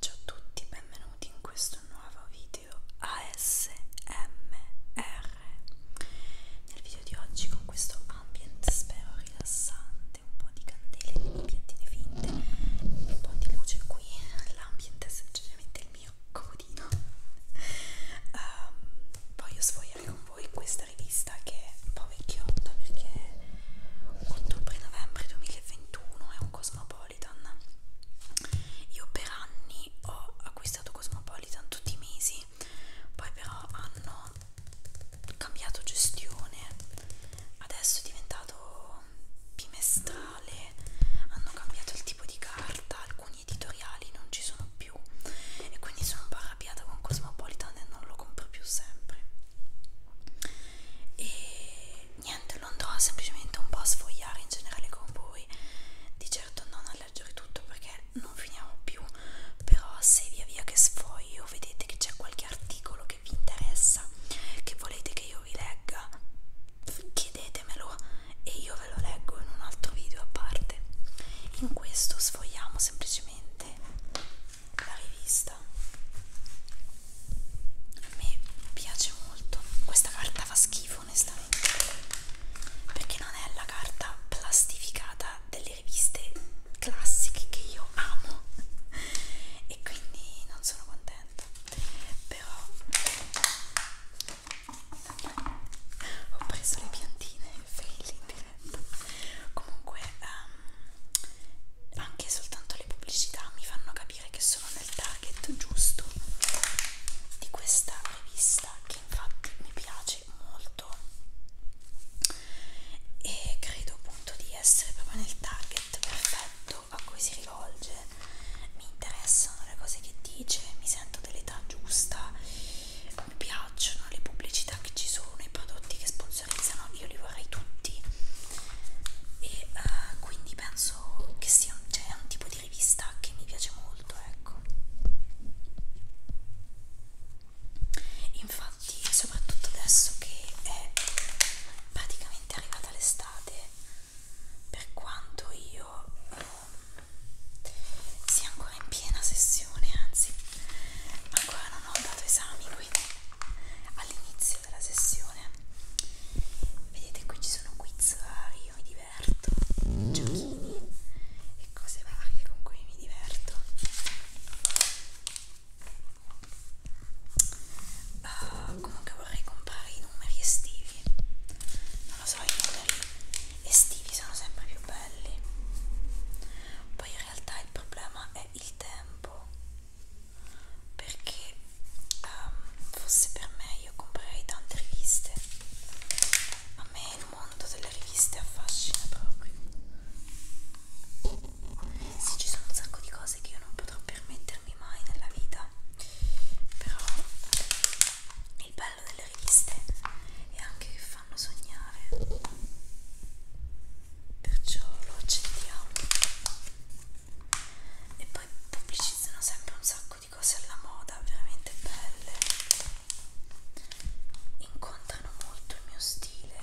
Ciao a tutti, benvenuti in questo nuovo video ASMR. Nel video di oggi con questo ambient spero rilassante, un po' di candele, di piantine finte, un po' di luce qui, l'ambient è semplicemente il mio comodino. Um, ehm, voglio sfogliare con voi questo questa rivista che è un po' vecchiotta perché ottobre-novembre 2021 è un Cosmopolitan. Io per anni ho acquistato Cosmopolitan tutti i mesi, poi però hanno cambiato gestione, adesso è diventato bimestrale, hanno cambiato il tipo di carta, alcuni editoriali non ci sono più e quindi sono un po' arrabbiata con Cosmopolitan e non lo compro più sempre e niente lo andrò semplicemente un po' a sfogliare in generale con voi di certo non a leggere tutto perché non finirò più però se via via che sfoglio vedete che c'è qualche articolo che vi interessa che volete che io vi legga chiedetemelo e io ve lo leggo in un altro video a parte in questo sfogliamo semplicemente comprate la rivista a me piace molto questa carta fa schifo onestamente perché non è la carta plastificata delle riviste classiche che io amo e quindi non sono contenta però ho preso le piantine felici diretta comunque um, anche soltanto le pubblicità mi fanno capire che sono nel target giusto di questa rivista che infatti mi piace molto e credo appunto di essere proprio nel target perfetto a cui si rivolge mi interessano le cose che dice mi sento dell'età giusta mi piacciono le pubblicità che ci sono, i prodotti che sponsorizzano, io li vorrei tutti e uh, quindi penso che sia cioè, è un tipo di rivista che mi piace molto, ecco. Infatti, soprattutto adesso che è praticamente arrivata l'estate, per quanto io um, sia ancora in piena sessione anzi ancora non ho dato esami quindi all'inizio della sessione vedete qui ci sono quiz vari io mi diverto giochini e cose varie con cui mi diverto uh, comunque vorrei comprare i numeri estivi non lo so i numeri estivi sono sempre più belli poi in realtà il problema è il tempo perché um, fosse per me io comprerei tante riviste a me il mondo delle riviste affascina proprio sì ci sono un sacco di cose che io non potrò permettermi mai nella vita però il bello delle riviste è anche che fanno sognare perciò lo accendiamo e poi pubblicizzano sempre un sacco di cose alla moda veramente belle incontrano molto il mio stile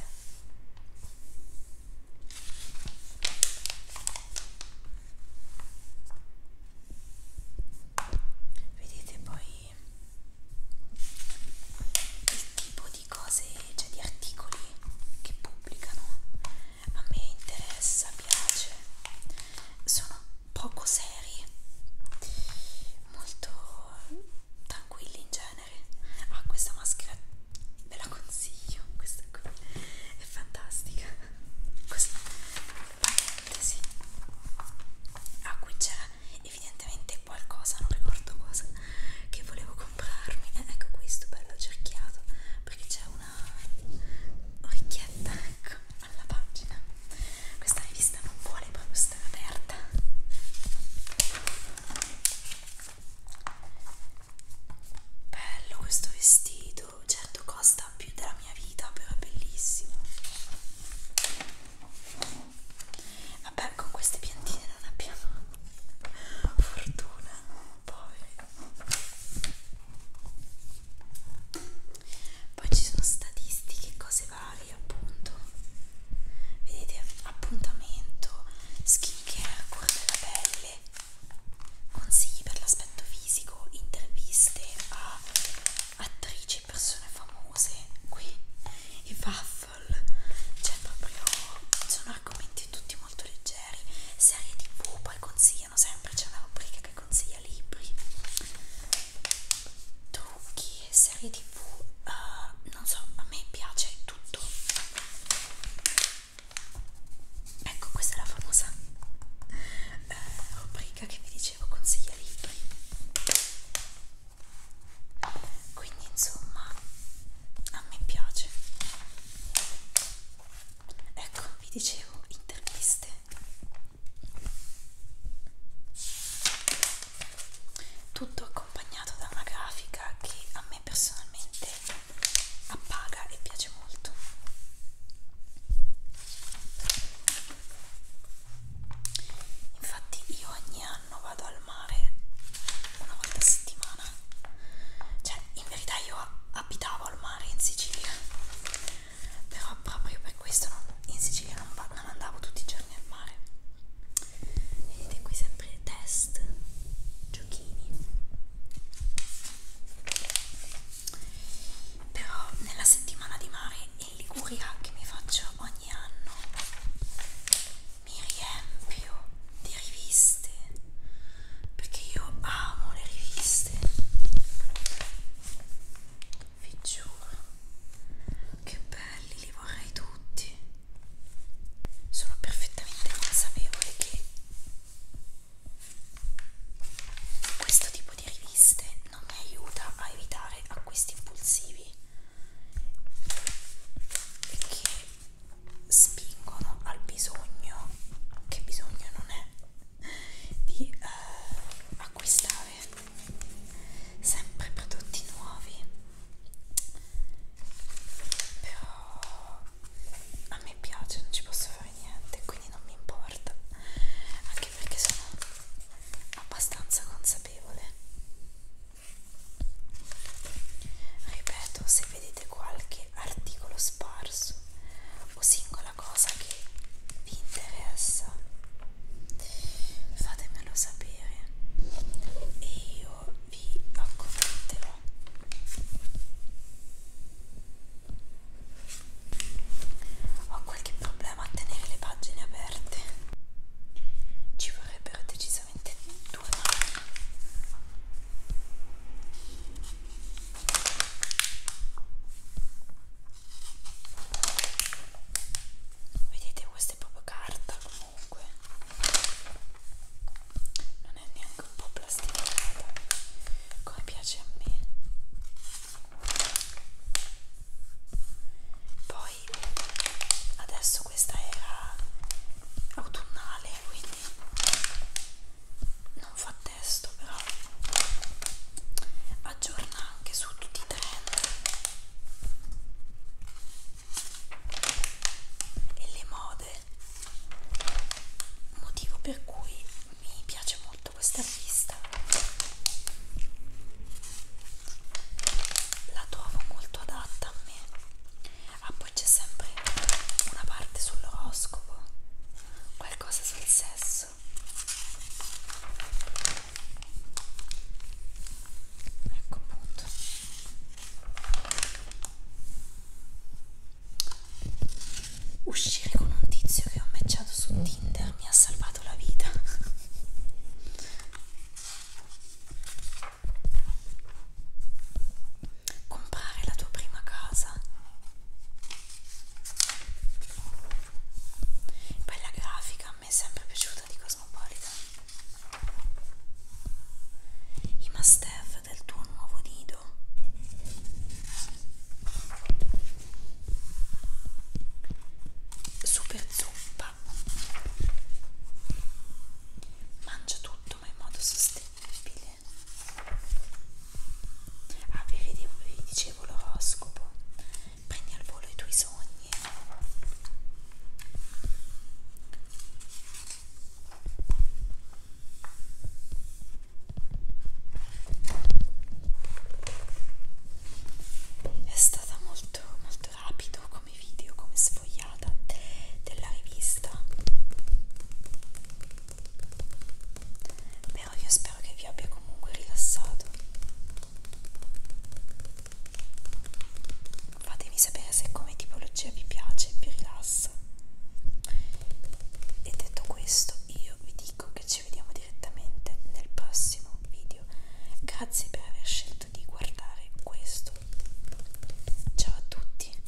vedete poi il tipo di cose cioè di articoli che pubblicano a me interessa piace sono poco seri molto tranquilli in genere ah questa maschera ve la consiglio questa qui è fantastica questa parentesi a ah, cui c'era evidentemente qualcosa non ricordo cosa che volevo comprarmi eh, ecco questo bello cerchiato perché c'è una orecchietta ecco alla pagina questa rivista non vuole proprio stare aperta bello questo vestito video certo costa più della mia vita però è bellissimo vabbè con queste piantine non abbiamo fortuna poveri poi ci sono statistiche cose varie appunto vedete appuntamento skin care cura della pelle consigli per l'aspetto fisico, interviste a attrici e persone famose qui i waffle cioè proprio sono argomenti tutti molto leggeri serie tv poi consigliano sempre c'è una rubrica che consiglia libri trucchi serie tv uh, eh, non so a me piace tutto ecco questa è la famosa eh, rubrica che vi dicevo consiglia libri quindi insomma a me piace ecco vi dicevo interviste tutto accompagnato da una grafica che a me personalmente appaga e piace molto infatti io ogni anno vado al mare una volta a settimana cioè in verità io abitavo al mare in Sicilia però proprio per questo non, in Sicilia non, non andavo tutti i giorni al mare vedete qui sempre test giochini però nella settimana di mare in Liguria che mi faccio ogni anno mi riempio di riviste perché io amo le riviste vi giuro che belli li vorrei tutti sono perfettamente consapevole che questo tipo di riviste non mi aiuta a evitare acquisti impulsivi e che spingono al bisogno, che bisogno non è, di eh, acquistare sempre prodotti nuovi però a me piace, non ci posso fare niente, quindi non mi importa, anche perché sono abbastanza consapevole. Ripeto, se vedete qualche articolo sparso o singola cosa che vi interessa fatemelo sapere e io vi accontenterò ho qualche problema a tenere le pagine aperte ci vorrebbero decisamente due mani vedete questa è proprio carta comunque non è neanche un po' plasticata come piace a me poi adesso questa era autunnale quindi non fa testo però aggiorna anche su tutti i trend e le mode motivo per cui mi piace molto questa vista la trovo molto adatta a me ah poi c'è sempre una parte sull'oroscopo qualcosa sul sesso rosso ecco appunto uscire con un tizio che ho matchato su Tinder mi ha salvato la vita comprare la tua prima casa poi la grafica a me è sempre piaciuta di Cosmopolitan i must have del tuo nuovo nido super zuppa mangia tutto ma in modo sostenibile Ah, vi, vedevo, vi dicevo l'oroscopo. Prendi al volo i tuoi sogni. È stata molto molto rapido come video, come sfogliata della rivista però io spero che vi abbia comunque rilassato fatemi sapere se come tipologia vi piace vi rilassa e detto questo io vi dico che ci vediamo direttamente nel prossimo video grazie per aver scelto di guardare questo ciao a tutti